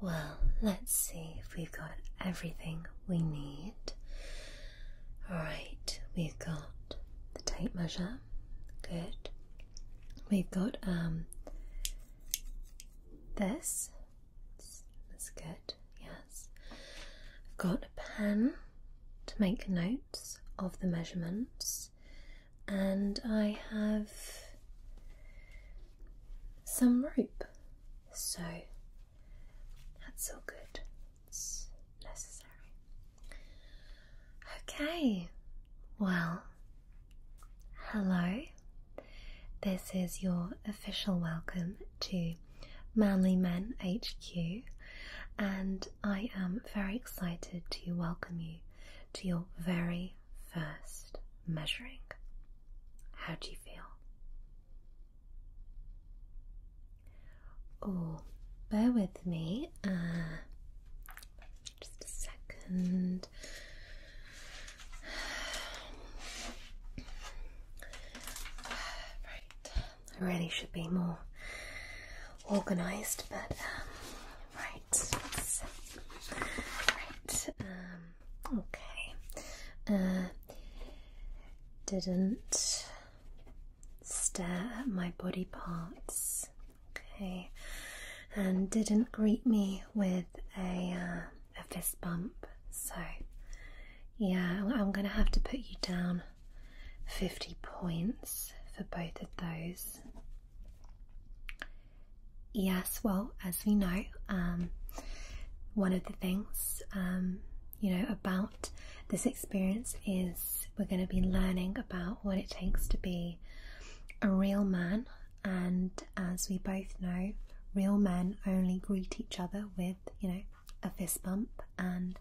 Well, let's see if we've got everything we need. Alright, we've got the tape measure. Good. We've got um this. That's good, yes. I've got a pen to make notes of the measurements, and I have some rope. So that's all good. necessary. Okay, well, hello. This is your official welcome to Manly Men HQ, and I am very excited to welcome you to your very first measuring. How do you feel? Oh, bear with me. Uh, just a second. Right, I really should be more organised, but um, right, right. Um, Okay. Uh, didn't stare at my body parts. Okay. And didn't greet me with a uh, fist bump. So, yeah, I'm going to have to put you down 50 points for both of those. Yes, well, as we know, um, one of the things, um, you know, about this experience is we're going to be learning about what it takes to be a real man. And as we both know, real men only greet each other with, you know, a fist bump and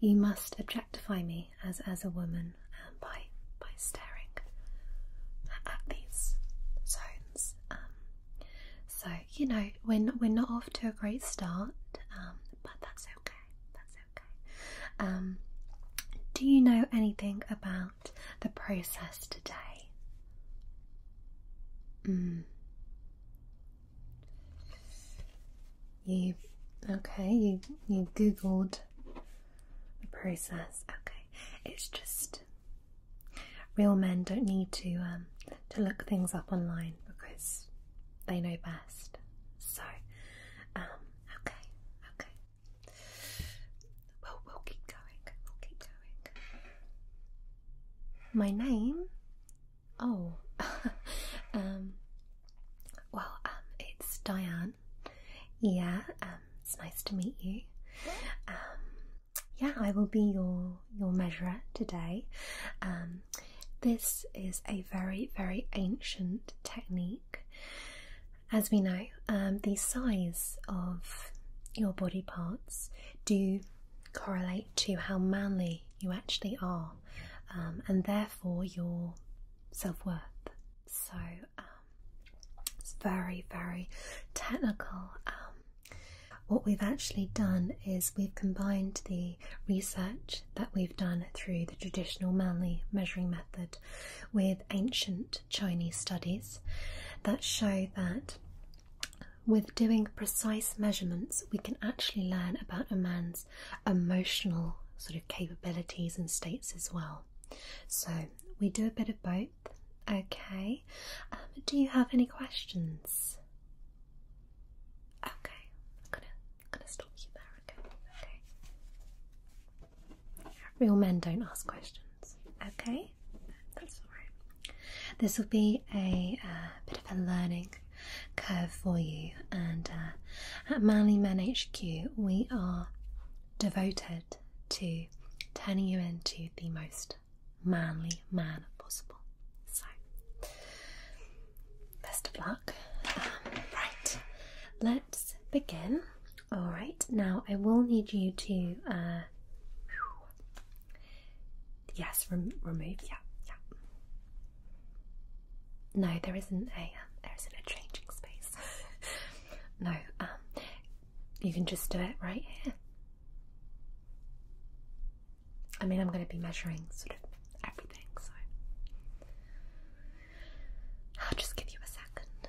you must objectify me as as a woman um, by by staring at, these zones so you know when we're not off to a great start, um, but that's okay. That's okay. Um, do you know anything about the process today? Mm. You okay? You you googled the process. Okay, it's just Real men don't need to um, to look things up online because they know best. So, um, okay, okay. Well, we'll keep going. We'll keep going. My name? Oh, um, well, um, it's Diane. Yeah, um, it's nice to meet you. Um, yeah, I will be your your measurer today. Um, this is a very very ancient technique. As we know, um, the size of your body parts do correlate to how manly you actually are, um, and therefore your self worth. So it's very very technical. What we've actually done is we've combined the research that we've done through the traditional manly measuring method with ancient Chinese studies that show that with doing precise measurements, we can actually learn about a man's emotional sort of capabilities and states as well. So, we do a bit of both. Okay. Um, do you have any questions? Okay, I'm gonna, stop you there. Okay, okay. Real men don't ask questions. Okay, that's all right. This will be a uh, bit of a learning curve for you, and uh, at Manly Men HQ, we are devoted to turning you into the most manly man possible. So, best of luck. Um, right, let's begin. All right, now I will need you to, uh, yes, remove, yeah, yeah. No, there isn't a, um, there isn't a changing space. no, um, you can just do it right here. I mean, I'm going to be measuring sort of everything, so I'll just give you a second.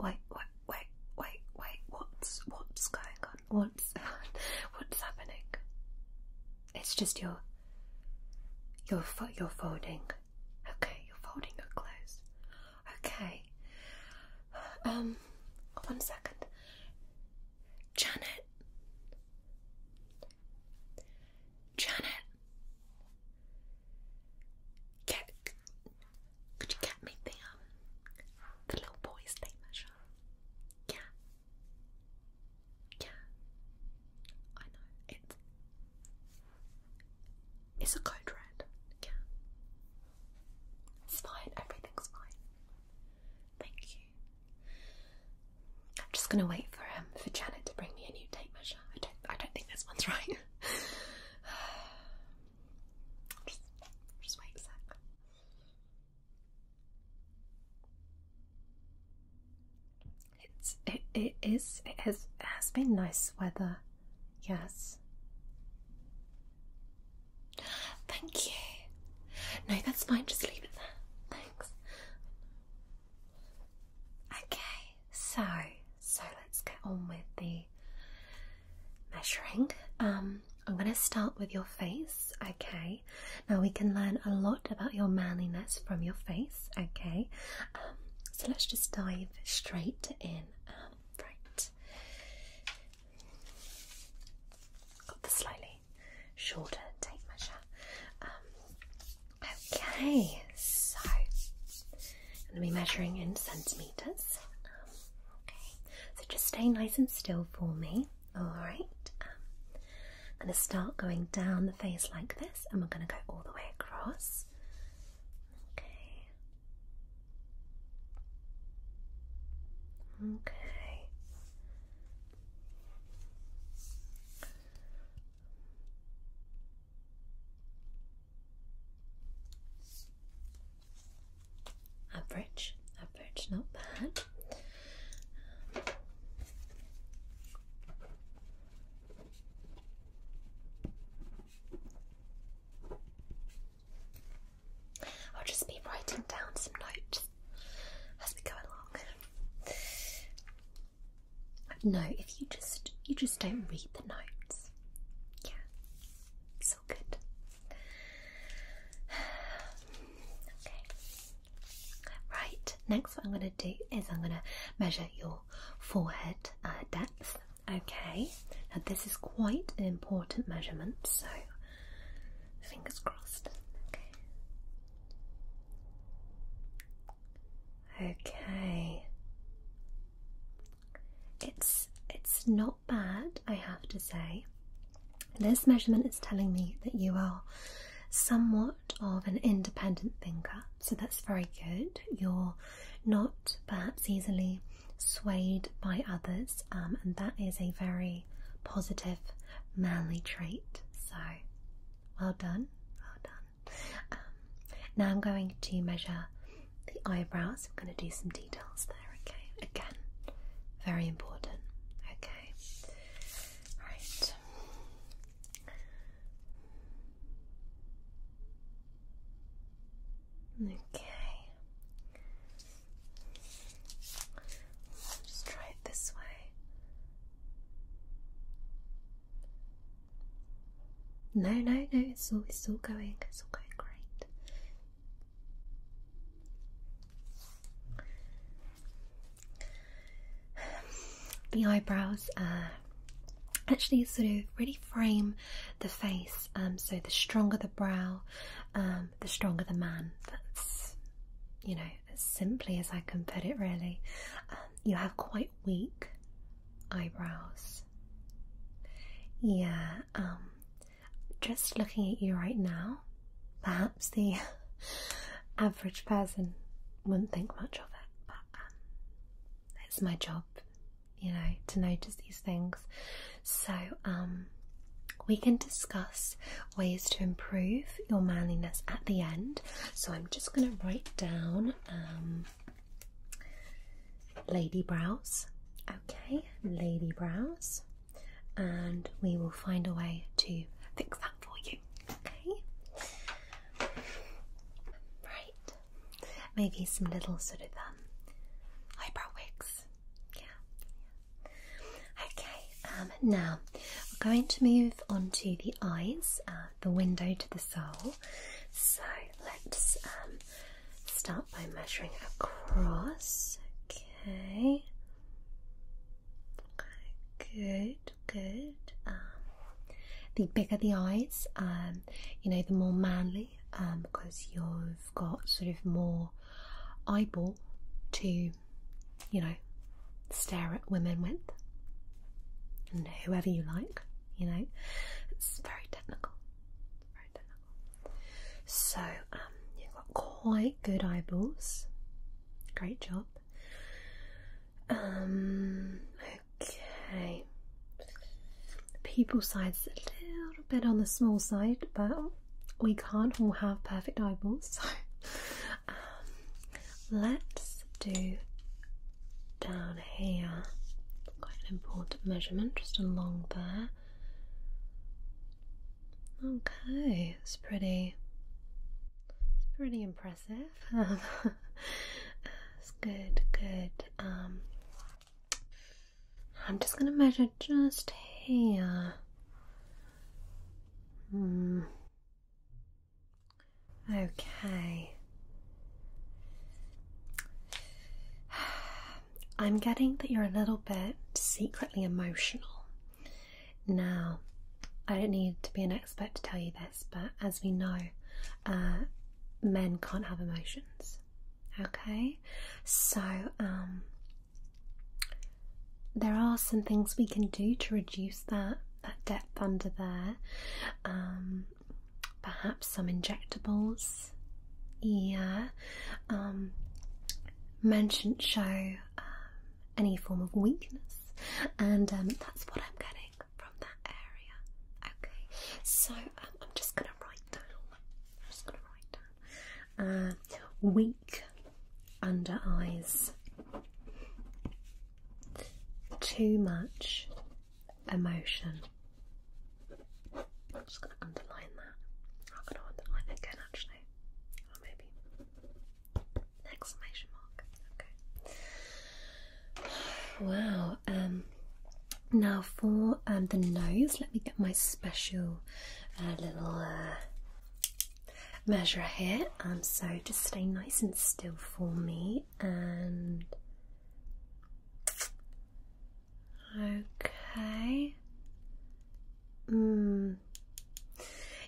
Wait, wait, wait, wait, wait, what's what's going on What's what's happening? It's just your your foot. You're folding. Okay, you're folding your clothes. Okay. Um, one second, Janet. Janet, get, could you get me the um, little boys' day yeah. Yeah. I know. It's it's a code red. Yeah. It's fine. Everything's fine. Thank you. I'm just gonna wait for um for Janet to bring me a new tape measure. I don't I don't think this one's right. just wait a sec. It's it is it has has been nice weather, yes. Thank you. No, that's fine, just leave it there. Thanks. Okay, so so let's get on with the measuring. Um, I'm going to start with your face, okay? Now we can learn a lot about your manliness from your face, okay? Um, so let's just dive straight in. Um, right. Got the slightly shorter tape measure. okay, so I'm going to be measuring in centimetres. okay, so just stay nice and still for me. Alright, I'm um, going to start going down the face like this and we're going to go all the way across. Okay. Okay average, average, not bad. I'll just be writing down some notes as we go along. No, if you just you just don't read the notes. Yeah. Okay. Right, next what I'm going to do is I'm going to measure your forehead uh, depth. Okay, now this is quite an important measurement, so fingers crossed. Okay. Okay. It's it's not but I have to say. This measurement is telling me that you are somewhat of an independent thinker, so that's very good. You're not perhaps easily swayed by others, um, and that is a very positive, manly trait. So, well done, well done. Um, now I'm going to measure the eyebrows. I'm going to do some details. there okay? Again, very important, okay? Right. Okay. I'll try it this way. No, no, no, it's all it's all going, it's all going great. The eyebrows actually sort of really frame the face. Um, so the stronger the brow, um, the stronger the man. That's you know as simply as I can put it. Really, um, you have quite weak eyebrows. Yeah just looking at you right now, perhaps the average person wouldn't think much of it, but um, it's my job, you know, to notice these things. So, um, we can discuss ways to improve your manliness at the end. So, I'm just going to write down um, lady brows. Okay, lady brows and we will find a way to fix that for you. Okay? Right. Maybe some little sort of um eyebrow wigs. Yeah. Okay, um now we're going to move on to the eyes, uh, the window to the soul. So let's um, start by measuring across. Okay. Okay, good, good. Um, the bigger the eyes, um, you know, the more manly, um, because you've got sort of more eyeball to, you know, stare at women with, and whoever you like. You know, it's very technical. It's very technical. So um, you've got quite good eyeballs. Great job. Um, okay. The pupil side's a little bit on the small side, but we can't all have perfect eyeballs. So um, let's do down here. Quite an important measurement, just along there. Okay, it's pretty. It's pretty impressive. it's good, good. Um, I'm just gonna measure just here. Hmm. Okay. I'm getting that you're a little bit secretly emotional. Now, I don't need to be an expert to tell you this, but as we know, uh, men can't have emotions. Okay? So, um, there are some things we can do to reduce that that depth under there. Um, perhaps some injectables. Yeah. Um, men shouldn't show um, any form of weakness, and um, that's what I'm getting from that area. Okay, so um, I'm just gonna write down. I'm just gonna write down. Uh, weak under eyes. Too much emotion. I'm just going to underline that. I'm going to underline again actually. Or oh, maybe. Exclamation mark. Okay. Wow. Um now for um the nose, let me get my special uh, little uh, measure here. Um so just stay nice and still for me and okay Mm.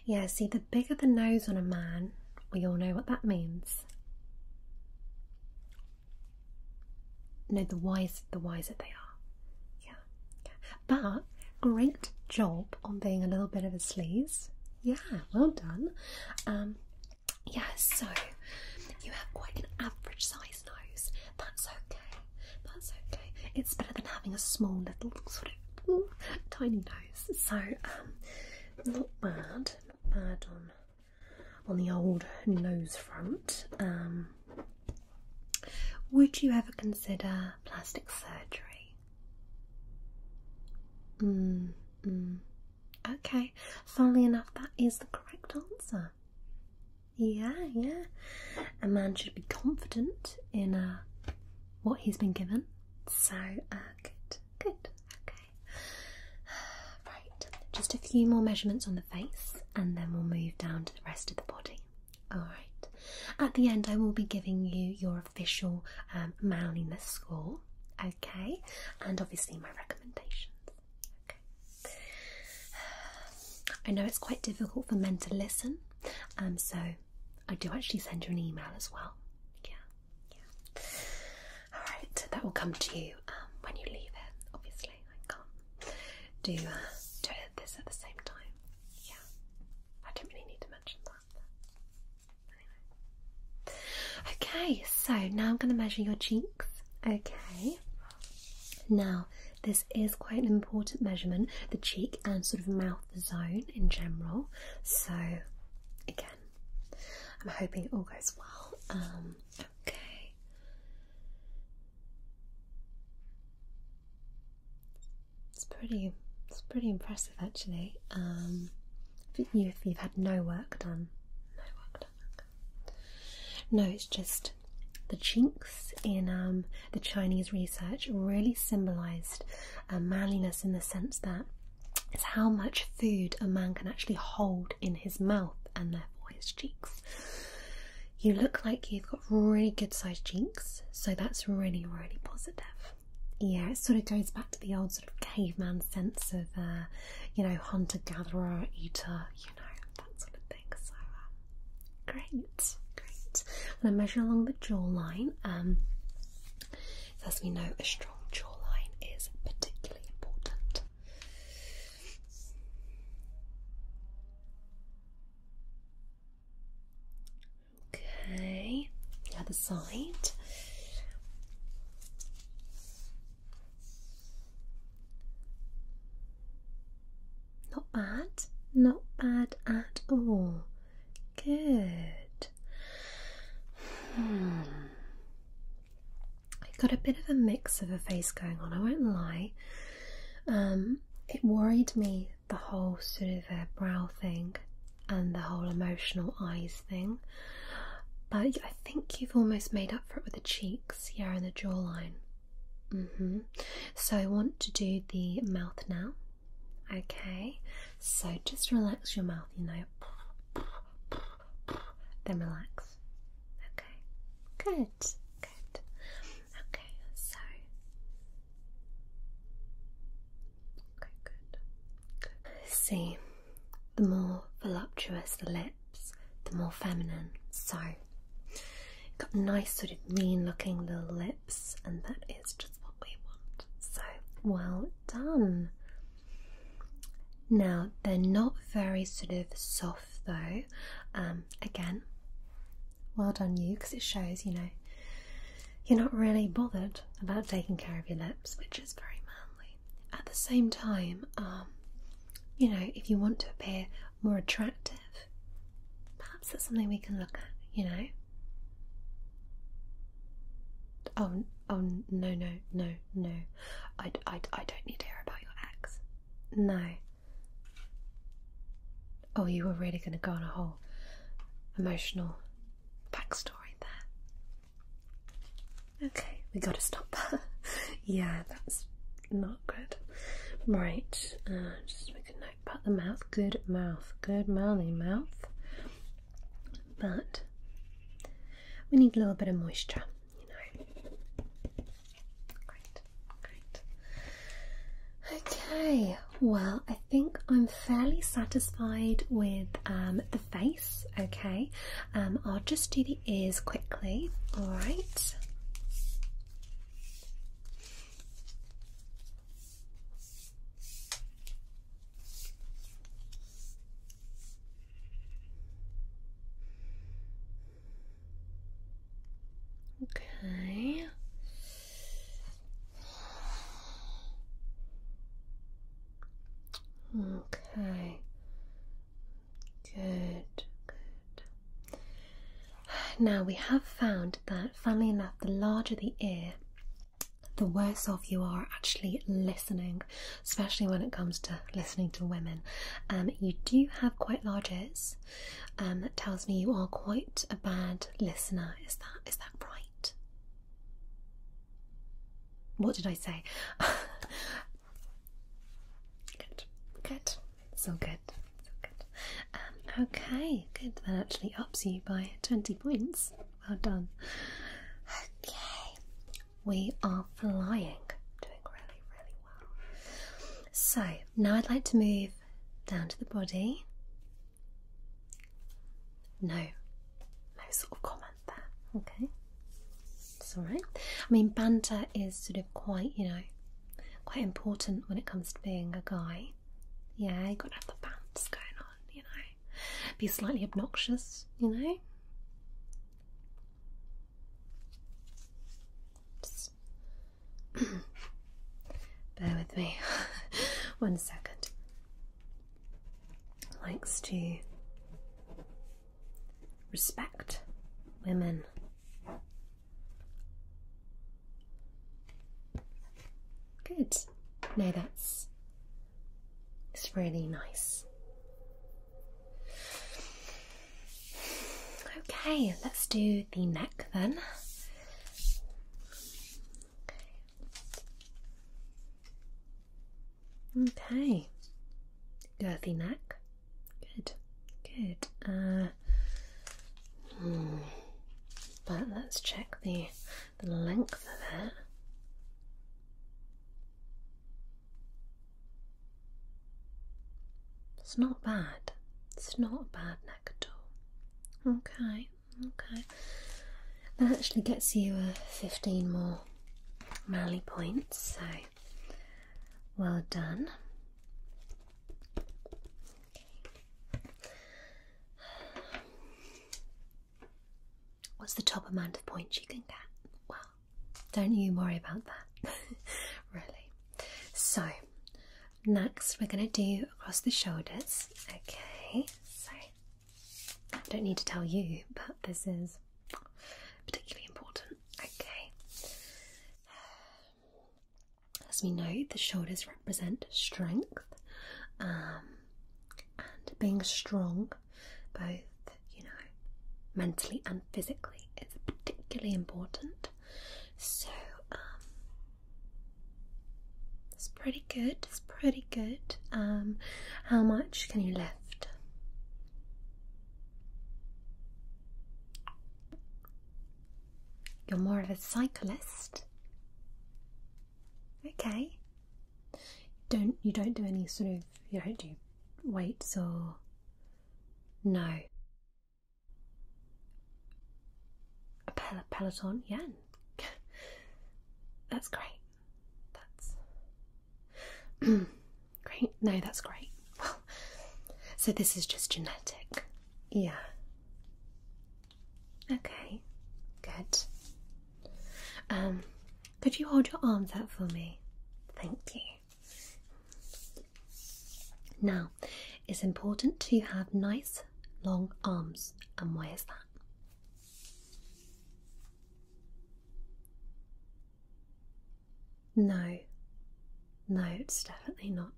Yeah, see, the bigger the nose on a man, we all know what that means. No, the wiser, the wiser they are. Yeah. But great job on being a little bit of a sleaze. Yeah, well done. Um, yeah, so you have quite an average size nose. That's okay that's okay. It's better than having a small little sort of tiny nose. So um, not bad, not bad on on the old nose front. Um, would you ever consider plastic surgery? Mm, mm, Okay, funnily enough, that is the correct answer. Yeah, yeah. A man should be confident in uh, what he's been given. So, uh, good, good, okay. Right, just a few more measurements on the face and then we'll move down to the rest of the body. Alright, at the end, I will be giving you your official um, manliness score, okay, and obviously my recommendations. Okay. I know it's quite difficult for men to listen um, so I do actually send you an email as well. Yeah, yeah. All right, that will come to you um, when you leave it. Obviously, I can't do uh, do this at the same time. Yeah, I don't really need to mention that. Okay, so now I'm going to measure your cheeks. Okay. Now, this is quite an important measurement, the cheek and sort of mouth zone in general. So, again, I'm hoping it all goes well. Um, okay. It's pretty. It's pretty impressive, actually. Um, if you if you've had no work done, no work done. No, it's just the chinks in um, the Chinese research really symbolized uh, manliness in the sense that it's how much food a man can actually hold in his mouth and therefore his cheeks. You look like you've got really good sized cheeks, so that's really, really positive. Yeah, it sort of goes back to the old sort of caveman sense of, uh, you know, hunter gatherer, eater, you know, that sort of thing. Uh, Great, great. I'm going to measure along the jawline. Um, as we know, a strong jawline is particularly important. Okay, the other side. Not bad, not bad at all. Good. Hmm. I got a bit of a mix of a face going on, I won't lie. Um, it worried me the whole sort of uh, brow thing and the whole emotional eyes thing. But I think you've almost made up for it with the cheeks, here and the jawline. Mm-hmm. So I want to do the mouth now. Okay. So just relax your mouth. You know. Then relax. Okay. Good. Good. Okay. So. Okay. Good. good. See, the more voluptuous the lips, the more feminine. So. Got nice sort of mean-looking little lips and that is just what we want. So well done. Now they're not very sort of soft though. Um, again, well done you, because it shows you know you're not really bothered about taking care of your lips, which is very manly. At the same time, um, you know, if you want to appear more attractive Perhaps that's something we can look at, you know? Oh, oh no, no, no, no. I, I, I don't need to hear about your ex. No. Oh, you were really going to go on a whole emotional backstory there. Okay, we gotta stop. yeah, that's not good. Right, uh, just make a note but the mouth, good mouth, good manly mouth. But we need a little bit of moisture, you know. Great, great. Okay, well, I think I'm fairly satisfied with um, the face. Okay, um, I'll just do the ears quickly, all right. Okay. Okay. Good. Good. Now, we have found that, funnily enough, the larger the ear, the worse off you are actually listening, especially when it comes to listening to women. Um, you do have quite large ears. Um, that tells me you are quite a bad listener. Is that is that right? What did I say? good, good. So good. Um, okay, good. That actually ups you by 20 points. Well done. Okay, we are flying. Doing really, really well. So, now I'd like to move down to the body. No, no sort of comment there. Okay, it's alright. I mean, banter is sort of quite, you know, quite important when it comes to being a guy. Yeah, you gotta have the bounce going on, you know. Be slightly obnoxious, you know. Just bear with me one second. Likes to respect women Good. No, that's it's really nice. Okay, let's do the neck then. Okay, the neck. Good, good. Uh, but let's check the, the length of it. It's not bad. It's not a bad neck at all. Okay, okay. That actually gets you uh, 15 more Mally points, so well done. What's the top amount of points you can get? Well, don't you worry about that, really. So, next we're going to do across the shoulders. Okay, so I don't need to tell you, but this is particularly important. Okay, as we know, the shoulders represent strength um, and being strong, both you know, mentally and physically, is particularly important. So um, it's pretty good. It's pretty good. Um, how much can you lift? You're more of a cyclist. Okay. Don't you don't do any sort of you don't do weights or no. A peloton, yeah. that's great. That's great. No, that's great. Well, so this is just genetic. Yeah. Okay, good. Um, could you hold your arms out for me? Thank you. Now, it's important to have nice long arms, and where is that? No, no, it's definitely not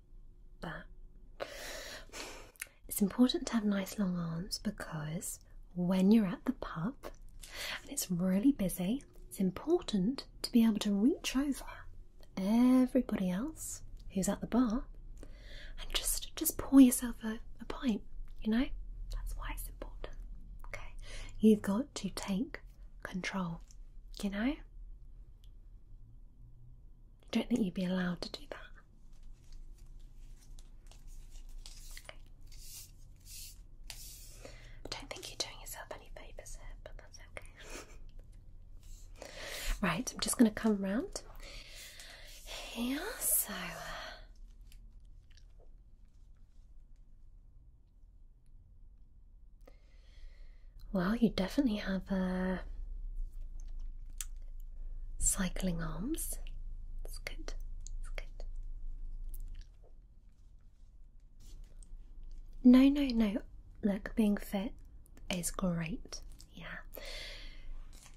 that. It's important to have nice long arms because when you're at the pub and it's really busy, it's important to be able to reach over everybody else who's at the bar and just just pour yourself a, a pint, you know? That's why it's important. Okay. You've got to take control, you know? don't think you'd be allowed to do that. I don't think you're doing yourself any favours here, but that's okay. right, I'm just going to come around here. So. Uh, well, you definitely have uh, cycling arms. That's good. That's good. No, no, no. Look, being fit is great. Yeah.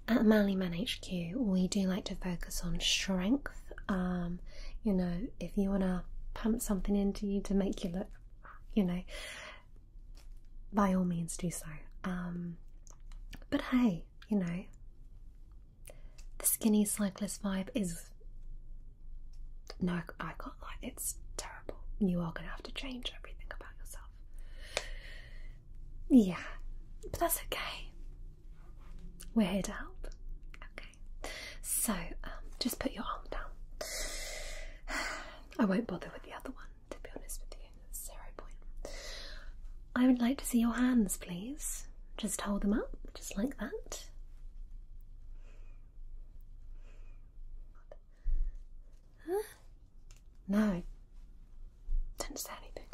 At Manly Man HQ, we do like to focus on strength. Um, you know, if you want to pump something into you to make you look, you know, by all means do so. Um, but hey, you know, the skinny cyclist vibe is no, I can't lie, it's terrible. You are gonna have to change everything about yourself. Yeah, but that's okay. We're here to help. Okay, so um, just put your arm down. I won't bother with the other one to be honest with you. zero point. I would like to see your hands, please. Just hold them up, just like that. Huh? No. do not say anything.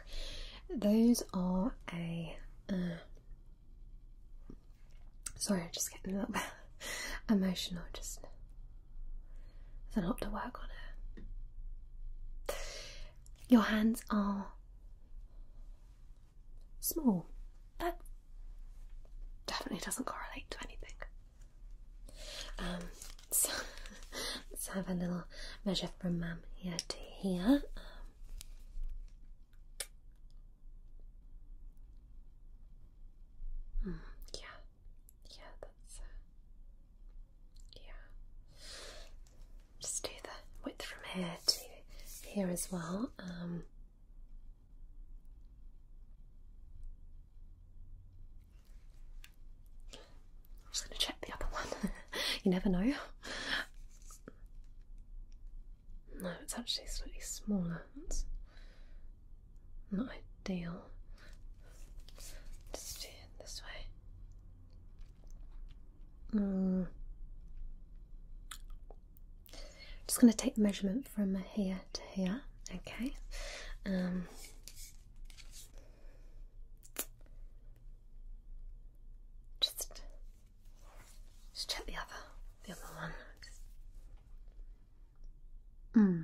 Those are a. Uh, sorry, i just getting a little bit emotional. Just there's a lot to work on here. Your hands are small. That definitely doesn't correlate to anything. Um, let's have a little measure from mum here to here. Um, hmm, yeah yeah, that's uh, yeah. Just do the width from here to here as well. Um, I'm just going to check the other one. you never know. No, it's actually slightly smaller not ideal. Just do it this way. Mm. Just going to take the measurement from here to here. Okay. Um, just, just check the other, the other one. Hmm.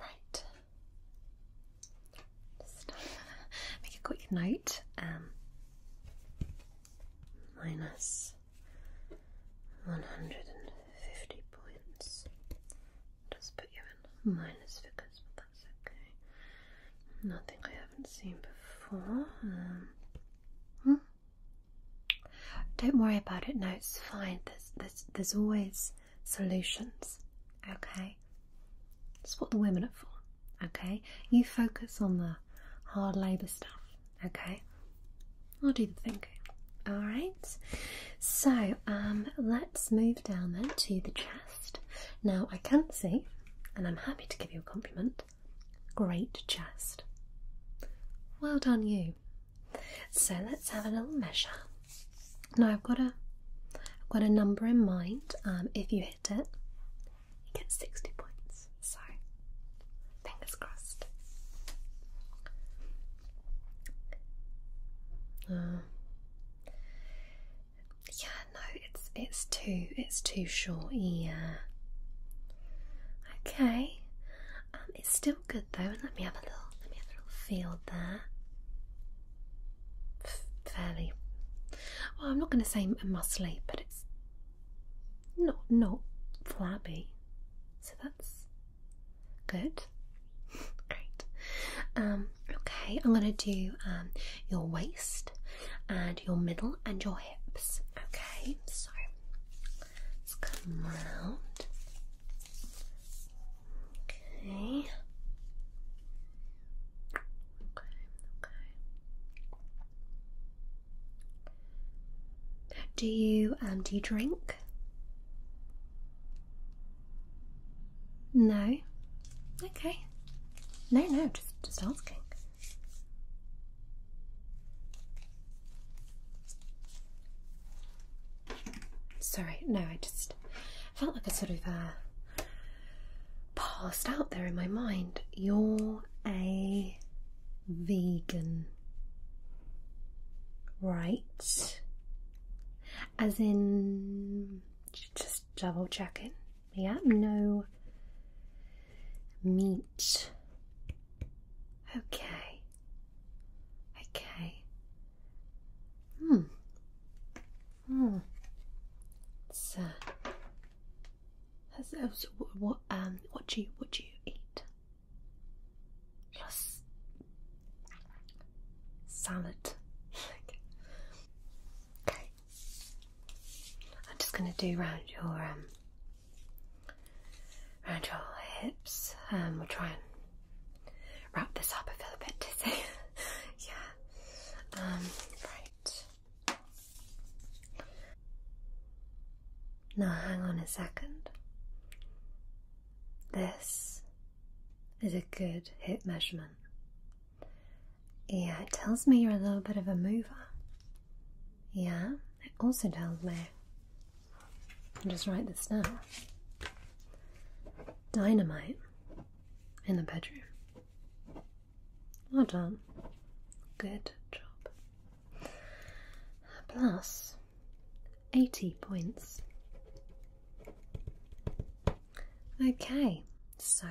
Right. Uh, make a quick note. Um, minus one hundred and fifty points. Just put you in minus figures, but that's okay. Nothing I haven't seen before. Um, hmm. Don't worry about it. No, it's fine. There's there's there's always solutions. Okay, that's what the women are for. Okay, you focus on the hard labour stuff. Okay, I'll do the thinking. All right. So um, let's move down then to the chest. Now I can see, and I'm happy to give you a compliment. Great chest. Well done, you. So let's have a little measure. Now I've got a I've got a number in mind. Um, if you hit it, you get 60 points. So fingers crossed. Uh, yeah, no, it's it's too it's too short. Yeah. Okay. Um, it's still good though. Let me have a little let me have a little feel there. Fairly well, I'm not gonna say muscly, but it's not not flabby. So that's good. Great. Um, okay, I'm gonna do um, your waist and your middle and your hips. Okay, so come round. Okay. Okay, okay. Do you um do you drink? No. Okay. No, no, just just asking. Sorry, no, I just felt like I sort of uh, passed out there in my mind. You're a vegan, right? As in, just double checking. Yeah, no meat. Okay. Okay. Hmm. Hmm. So, has, so what, what um what do you what do you eat? Yes. Salad. okay. I'm just gonna do round your um around your hips. Um, we'll try and wrap this up. I feel a bit dizzy. yeah. Um, right. Now, hang on a second. This is a good hip measurement. Yeah, it tells me you're a little bit of a mover. Yeah, it also tells me I'll just write this down. Dynamite in the bedroom. Well done. Good job. Plus 80 points. Okay, so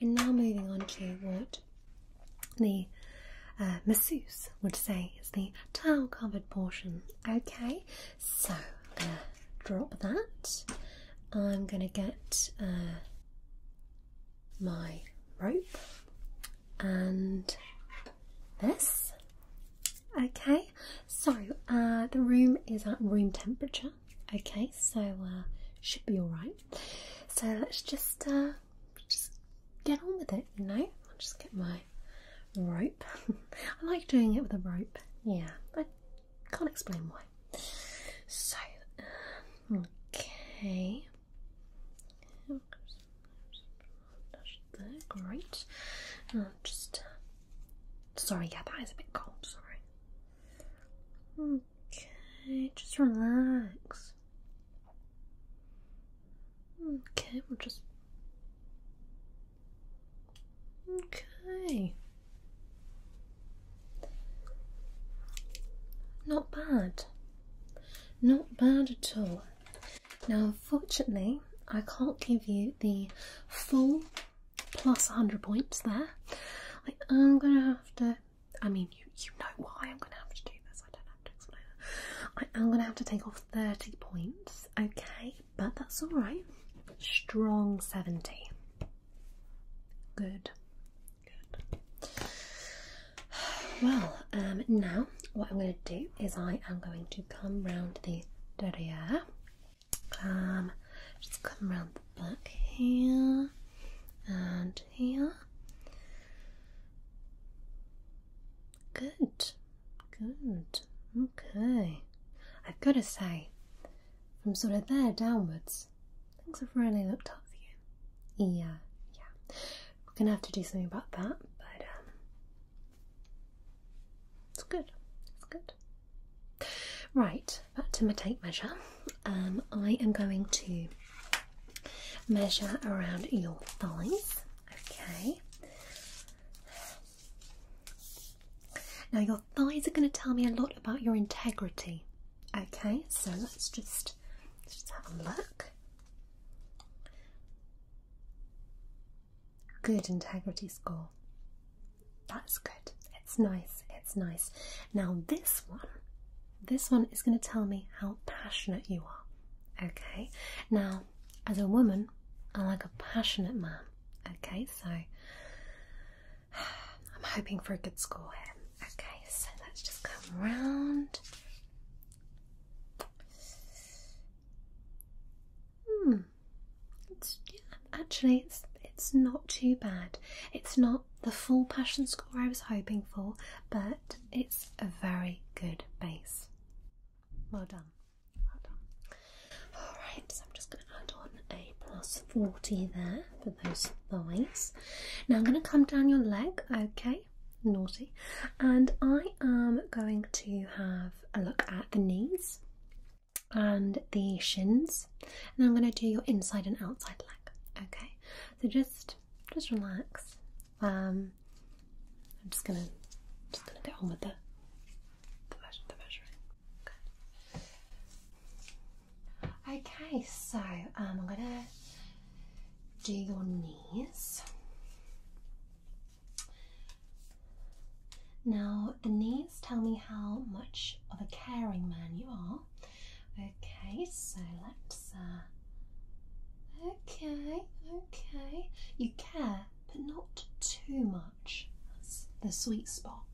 we're now moving on to what the uh, masseuse would say is the tile covered portion. Okay, so I'm gonna drop that. I'm gonna get uh, my rope and this. Okay, so uh, the room is at room temperature. Okay, so uh, should be all right. So let's just uh, just get on with it, you know. I'll just get my rope. I like doing it with a rope, yeah, I can't explain why. So, okay. great. Uh, just sorry, yeah, that is a bit cold. Sorry. Okay, just relax. Okay, we'll just Okay. Not bad. Not bad at all. Now, unfortunately, I can't give you the full plus 100 points there. I am going to have to, I mean, you, you know why I'm going to have to do this, I don't have to explain I am going to have to take off 30 points, okay? but that's all right. Strong 70. Good. Good. Well, um, now what I'm going to do is I am going to come round the derriere. Um, just come round the back here and here. Good, good. Okay. I've got to say, from sort of there downwards, things have really looked up for you. Yeah, yeah. We're gonna have to do something about that, but um, it's good. It's good. Right, back to my tape measure. Um, I am going to measure around your thighs. Okay. Now, your thighs are going to tell me a lot about your integrity. Okay, so let's just, let's just have a look. Good integrity score. That's good. It's nice. It's nice. Now, this one, this one is going to tell me how passionate you are. Okay, now as a woman, I like a passionate man. Okay, so I'm hoping for a good score here. Okay, so let's just come round. Hmm. yeah, actually, it's it's not too bad. It's not the full passion score I was hoping for, but it's a very good base. Well done. Alright, so I'm just going to add on a plus 40 there for those thighs. Now I'm going to come down your leg, okay? Naughty. And I am going to have a look at the knees and the shins. And I'm going to do your inside and outside leg, okay? So just just relax. Um, I'm just gonna just gonna get on with the the, measuring. Okay. so um, I'm gonna do your knees. Now the knees tell me how much of a caring man you are. Okay, so let's. Uh, okay, okay. You care but not too much. That's the sweet spot.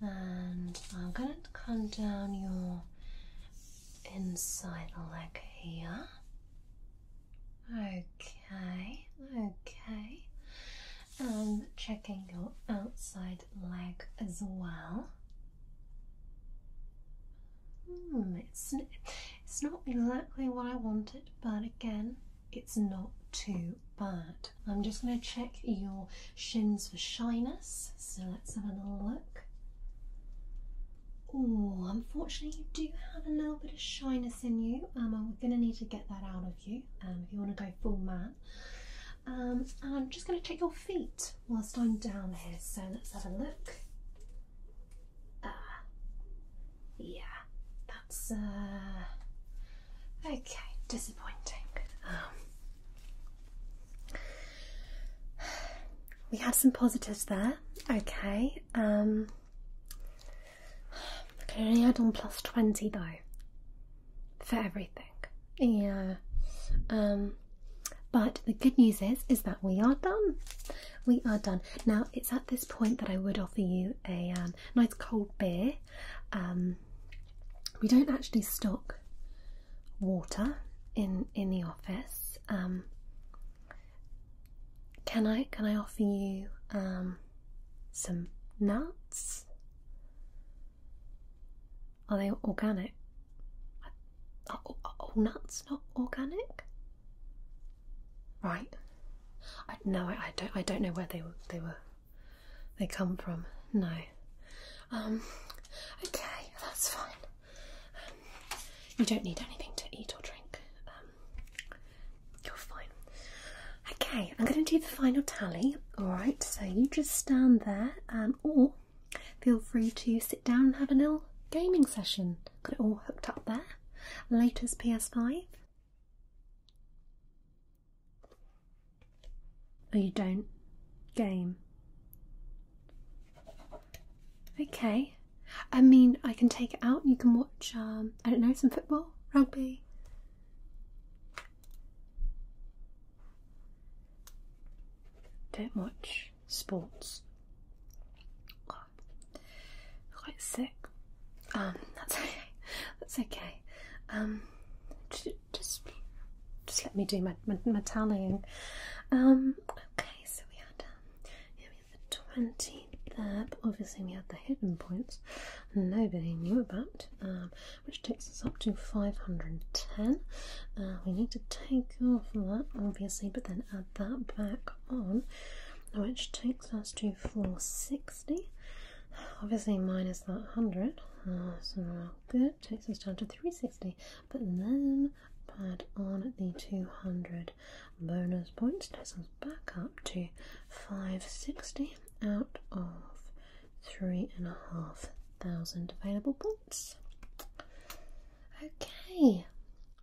And I'm going to come down your inside leg here. Okay, okay. And checking your outside leg as well. Hmm, it's, it's not exactly what I wanted, but again, it's not too bad. I'm just going to check your shins for shyness. So let's have another look. Oh, unfortunately, you do have a little bit of shyness in you, um, and we're going to need to get that out of you um, if you want to go full mat, um, I'm just going to check your feet whilst I'm down here. So let's have a look. Ah, yeah, that's uh, okay, disappointing. Um, we have some positives there, okay. Um, I can on plus 20 though for everything, yeah. Um, but the good news is, is that we are done we are done. Now it's at this point that I would offer you a um, nice cold beer. Um, we don't actually stock water in in the office. Um, can I can I offer you some nuts? Are they organic? Are, nuts not organic? right? I no, I, don't. I don't know where they were. They were. They come from. No. Um. Okay, that's fine. Um, you don't need anything to eat or drink. Um, you're fine. Okay, I'm going to do the final tally. All right. So you just stand there, um, or feel free to sit down and have a little gaming session. Got it all hooked up there latest PS5? Oh, you don't? Game. Okay. I mean, I can take it out you can watch, um, I don't know, some football, rugby. Don't watch sports quite sick. Um, that's okay. That's okay. Um, just, just let me do my my, tallying. Um, okay. So we had um, we had the twenty there, but obviously we had the hidden points nobody knew about, um, which takes us up to five hundred and ten. Uh, we need to take off that obviously, but then add that back on, which takes six, that's two four sixty. Obviously minus that hundred, uh, so that takes us down to three sixty. But then add on the two hundred bonus points, takes us back up to five sixty out of three and a half thousand available points. Okay,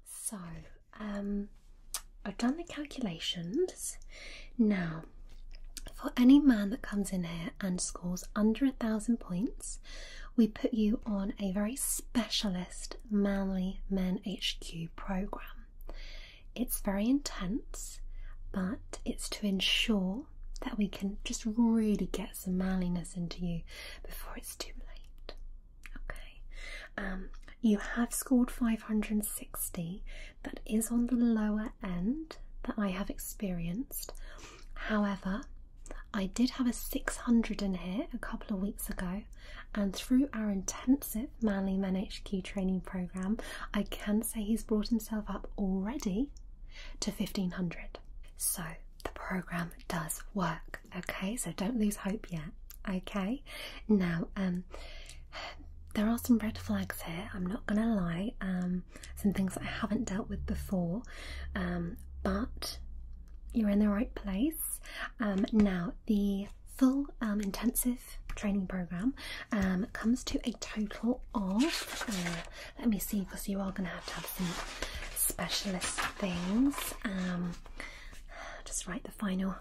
so, um, I've done the calculations. Now, for any man that comes in here and scores under a thousand points, we put you on a very specialist Manly Men HQ program. It's very intense, but it's to ensure that we can just really get some manliness into you before it's too late. Okay, um, you have scored 560, that is on the lower end that I have experienced. However, I did have a 600 in here a couple of weeks ago, and through our intensive Manly Men HQ training program, I can say he's brought himself up already to 1500. So the program does work. Okay, so don't lose hope yet. Okay, now um, there are some red flags here. I'm not gonna lie. Um, some things that I haven't dealt with before, um, but you're in the right place. Um, now the full um, intensive training program um, comes to a total of. Uh, let me see, because you are gonna have to have some specialist things. Um, just write the final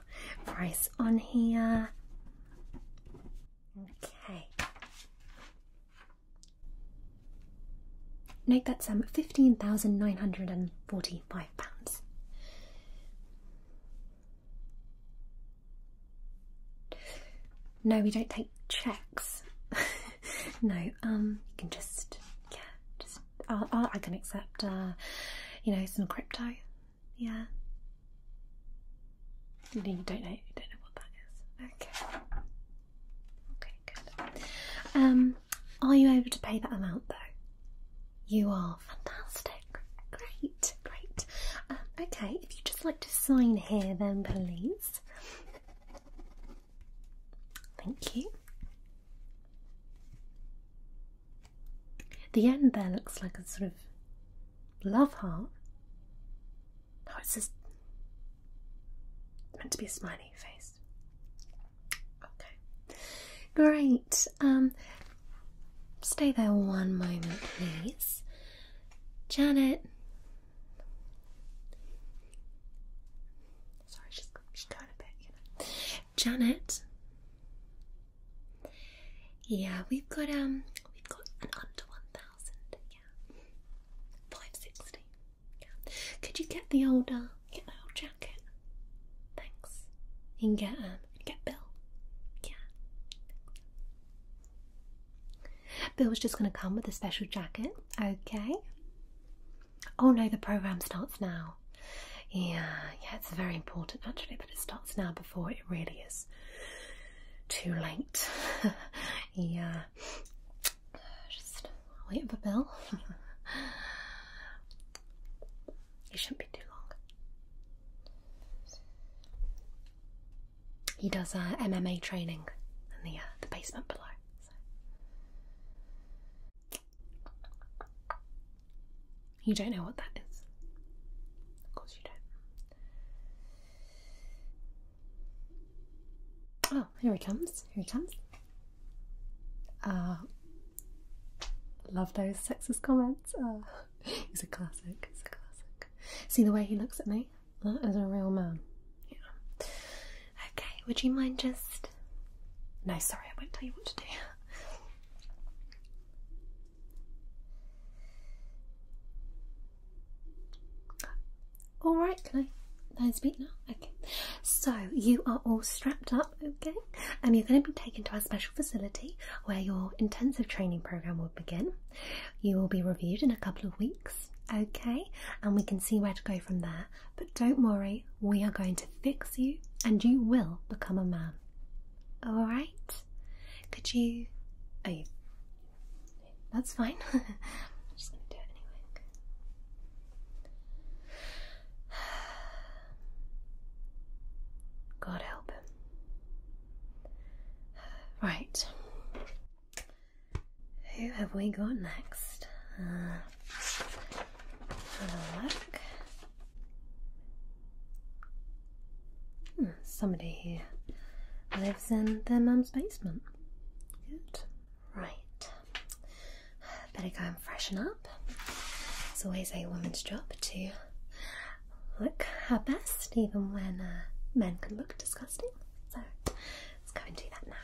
price on here. Okay. Note that's um fifteen thousand nine hundred and forty-five pounds. No, we don't take checks. no, um, you can just yeah, just i can accept, uh, you know, some crypto. Yeah. You don't know. You don't know what that is. Okay. Okay. Good. Um, are you able to pay that amount though? You are fantastic. Great. Great. Um, okay. If you just like to sign here, then please. Thank you. The end there looks like a sort of love heart. No, it's just meant to be a smiley face. Okay, great. Um, stay there one moment, please. Janet. Sorry, she's, she's going a bit, Janet. Yeah, we've got um, we've got an under one thousand. Yeah, five sixty. Yeah. Could you get the old uh, get the old jacket? Thanks. You can get um, get Bill. Yeah. Bill was just gonna come with a special jacket. Okay. Oh no, the program starts now. Yeah, yeah, it's very important actually but it starts now before it really is too late. yeah, just wait for Bill. He shouldn't be too long. He does uh, MMA training in the uh, the basement below. You don't know what that is. Of course you don't. Oh, here he comes. Here he comes. Uh, love those sexist comments. Uh, he's a classic. He's a classic. See the way he looks at me? That is a real man. Yeah. Okay, would you mind just. No, sorry, I won't tell you what to do. All right, can I? No speak now. Okay. So you are all strapped up, okay? And you're going to be taken to our special facility where your intensive training program will begin. You will be reviewed in a couple of weeks, okay? And we can see where to go from there. But don't worry, we are going to fix you, and you will become a man. All right. Could you? Oh, you... that's fine. I'm just gonna do it anyway. God help him. Right. Who have we got next? Uh, have a look. Hmm, somebody here lives in their mum's basement. Good. Right. Better go and freshen up. It's always a woman's job to look her best, even when uh, men can look disgusting. So let's go and do that now.